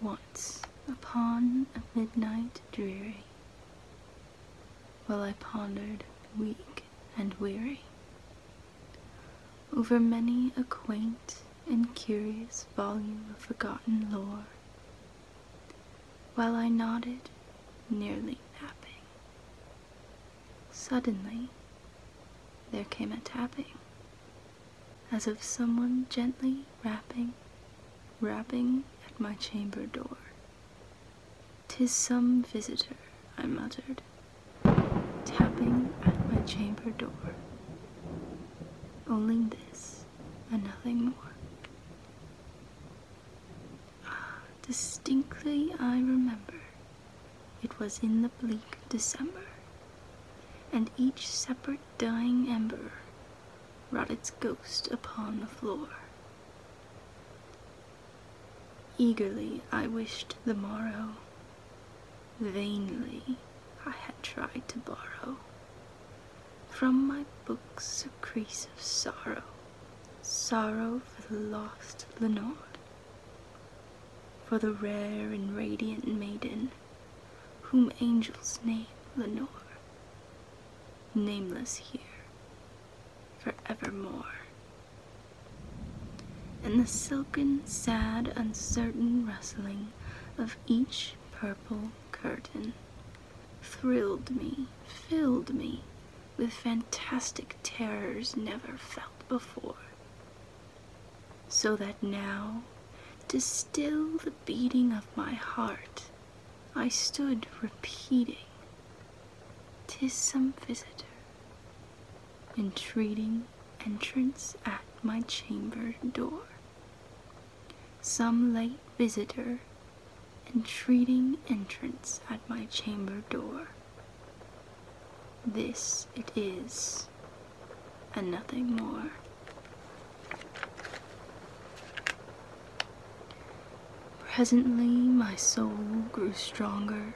Once upon a midnight dreary, while I pondered weak and weary. Over many a quaint and curious volume of forgotten lore, while I nodded, nearly napping. Suddenly, there came a tapping, as of someone gently rapping, rapping at my chamber door. Tis some visitor, I muttered, tapping at my chamber door. Only this and nothing more. Ah, distinctly I remember it was in the bleak December, and each separate dying ember wrought its ghost upon the floor. Eagerly I wished the morrow, vainly I had tried to borrow from my books a crease of sorrow, sorrow for the lost Lenore, for the rare and radiant maiden whom angels name Lenore, nameless here forevermore. And the silken, sad, uncertain rustling of each purple curtain thrilled me, filled me with fantastic terrors never felt before. So that now, to still the beating of my heart, I stood repeating, "Tis some visitor, entreating entrance at my chamber door. Some late visitor, entreating entrance at my chamber door. This it is, and nothing more. Presently my soul grew stronger,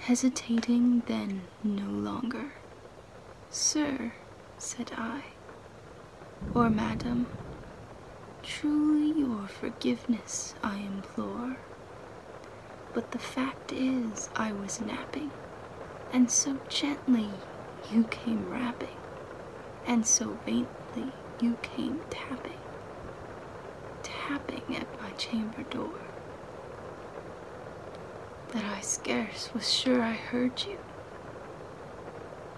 hesitating then no longer. Sir, said I, or madam, truly your forgiveness I implore. But the fact is, I was napping, and so gently you came rapping, and so faintly you came tapping, tapping at my chamber door. That I scarce was sure I heard you.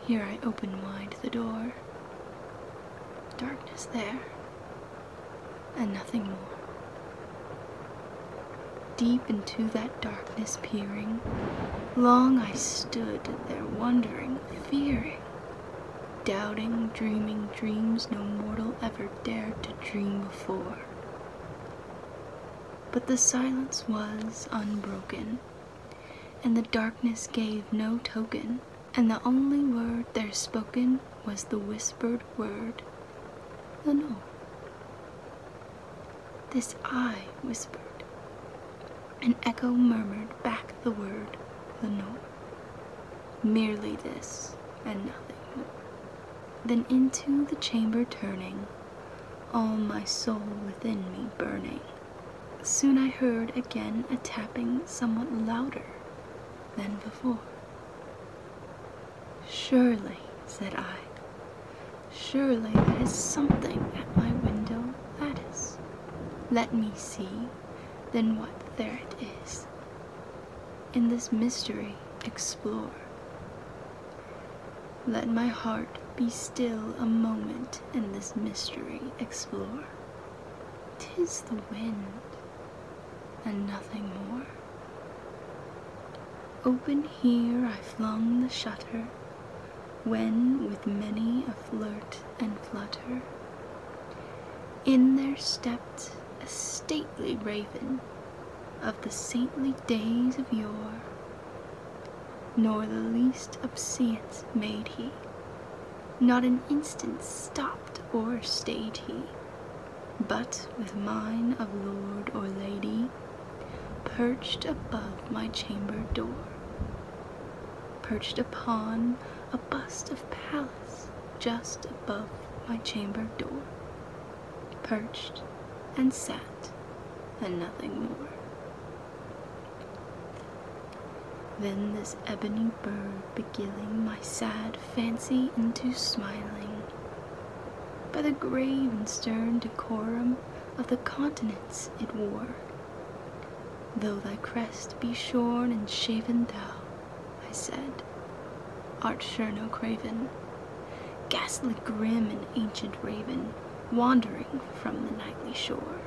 Here I opened wide the door. Darkness there, and nothing more. Deep into that darkness peering, long I stood there wondering fearing, doubting, dreaming dreams no mortal ever dared to dream before. But the silence was unbroken, and the darkness gave no token, and the only word there spoken was the whispered word, "No." This I whispered, an echo murmured back the word, the note. Merely this, and nothing more. Then into the chamber turning, all my soul within me burning, soon I heard again a tapping somewhat louder than before. Surely, said I, Surely there is something at my window lattice. Let me see, then what there it is. In this mystery explore. Let my heart be still a moment in this mystery explore. Tis the wind, and nothing more. Open here I flung the shutter, when with many a flirt and flutter, in there stepped a stately raven of the saintly days of yore, nor the least obeisance made he, not an instant stopped or stayed he, but with mine of lord or lady perched above my chamber door, perched upon a bust of Pallas just above my chamber door, perched and sat and nothing more. Then this ebony bird beguiling my sad fancy into smiling. By the grave and stern decorum of the continents it wore. Though thy crest be shorn and shaven, thou, I said, art sure no craven, ghastly grim and ancient raven, wandering from the nightly shore.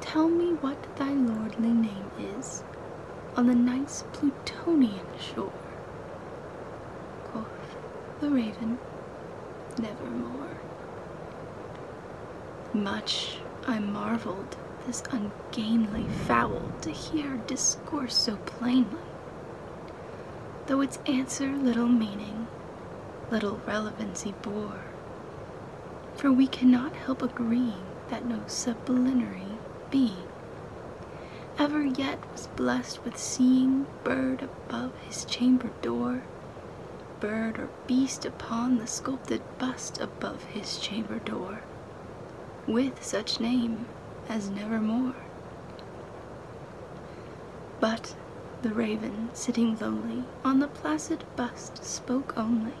Tell me what thy lordly name is on the night's Plutonian shore. Quoth the raven, nevermore. Much I marveled this ungainly fowl to hear discourse so plainly, though its answer little meaning, little relevancy bore, for we cannot help agreeing that no sublunary being ever yet was blessed with seeing bird above his chamber door, bird or beast upon the sculpted bust above his chamber door, with such name as nevermore. But the raven, sitting lonely on the placid bust, spoke only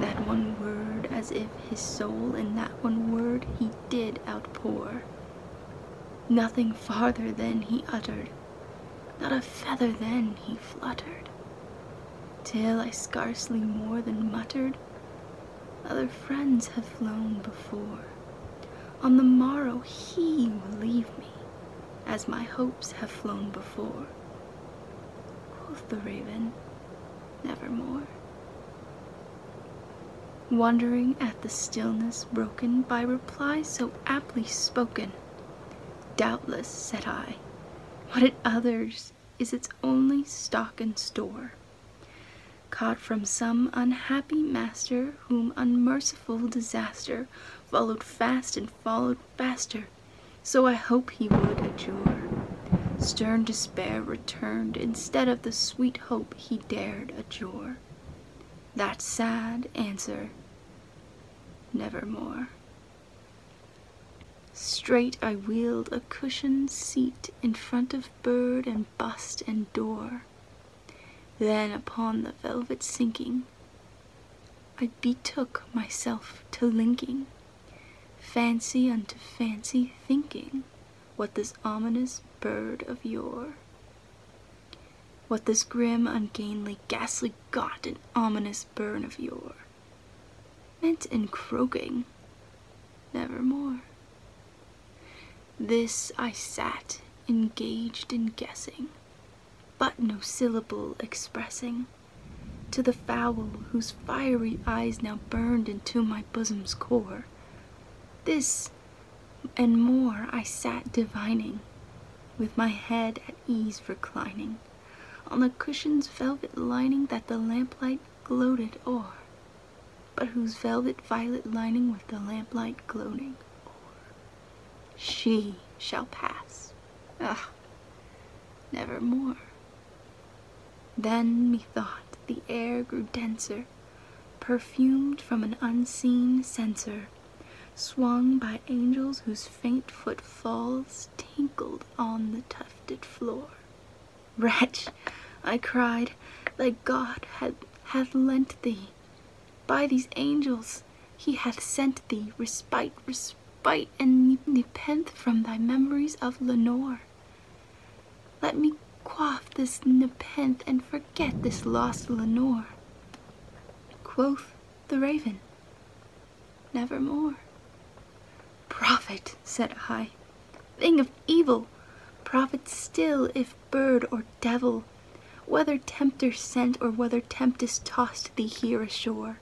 that one word, as if his soul in that one word he did outpour. Nothing farther then he uttered, not a feather then he fluttered, till I scarcely more than muttered, Other friends have flown before. On the morrow he will leave me, as my hopes have flown before. Quoth the raven, Nevermore wondering at the stillness broken by replies so aptly spoken. Doubtless, said I, what it others is its only stock and store, caught from some unhappy master whom unmerciful disaster followed fast and followed faster, so I hope he would adjure. Stern despair returned instead of the sweet hope he dared adjure that sad answer nevermore. Straight I wheeled a cushioned seat in front of bird and bust and door. Then upon the velvet sinking, I betook myself to linking, fancy unto fancy thinking what this ominous bird of yore what this grim, ungainly, ghastly got and ominous burn of yore meant in croaking, nevermore. This I sat, engaged in guessing, but no syllable expressing, to the fowl whose fiery eyes now burned into my bosom's core. This and more I sat divining, with my head at ease reclining on the cushion's velvet lining that the lamplight gloated o'er, but whose velvet violet lining with the lamplight gloating o'er. She shall pass, ah, nevermore. Then methought the air grew denser perfumed from an unseen censer, swung by angels whose faint footfalls tinkled on the tufted floor. Wretch, I cried, thy God hath, lent thee. By these angels he hath sent thee respite, respite, and nepenthe from thy memories of Lenore. Let me quaff this nepenthe and forget this lost Lenore. Quoth the raven, Nevermore. Prophet, said I, thing of evil, prophet still if bird or devil, whether tempter sent or whether tempest tossed thee here ashore.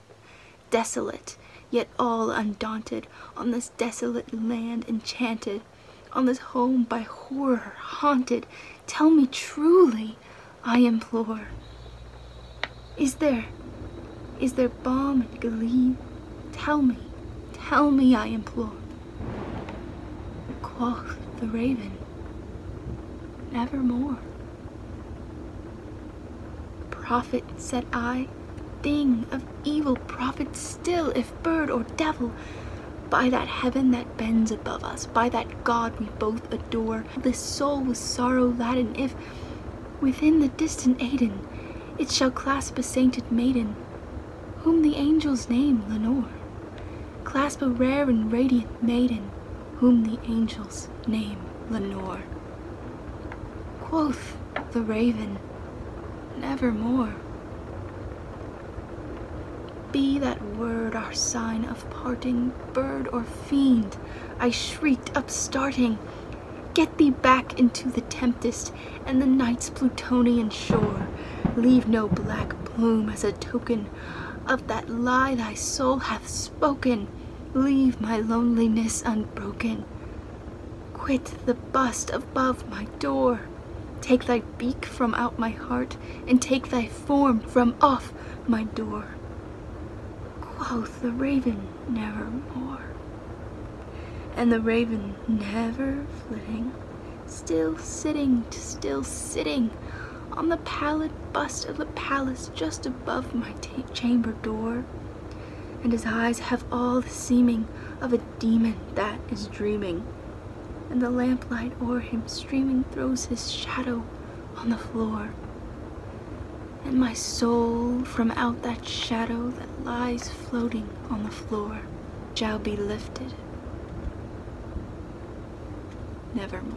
Desolate, yet all undaunted, on this desolate land enchanted, on this home by horror haunted, tell me truly, I implore. Is there, is there balm and gleam? Tell me, tell me, I implore. Quoth the raven, nevermore. Prophet, said I, thing of evil, prophets still if bird or devil by that heaven that bends above us, by that God we both adore, this soul with sorrow laden, if within the distant Aden it shall clasp a sainted maiden, whom the angels name Lenore, clasp a rare and radiant maiden, whom the angels name Lenore. Quoth the raven, nevermore. Be that word our sign of parting, bird or fiend, I shrieked, upstarting, get thee back into the tempest and the night's plutonian shore. Leave no black plume as a token of that lie thy soul hath spoken. Leave my loneliness unbroken. Quit the bust above my door. Take thy beak from out my heart, and take thy form from off my door. Quoth the raven, nevermore. And the raven, never flitting, still sitting, still sitting, on the pallid bust of the palace just above my chamber door and his eyes have all the seeming of a demon that is dreaming. And the lamplight o'er him streaming throws his shadow on the floor. And my soul from out that shadow that lies floating on the floor shall be lifted. Nevermore.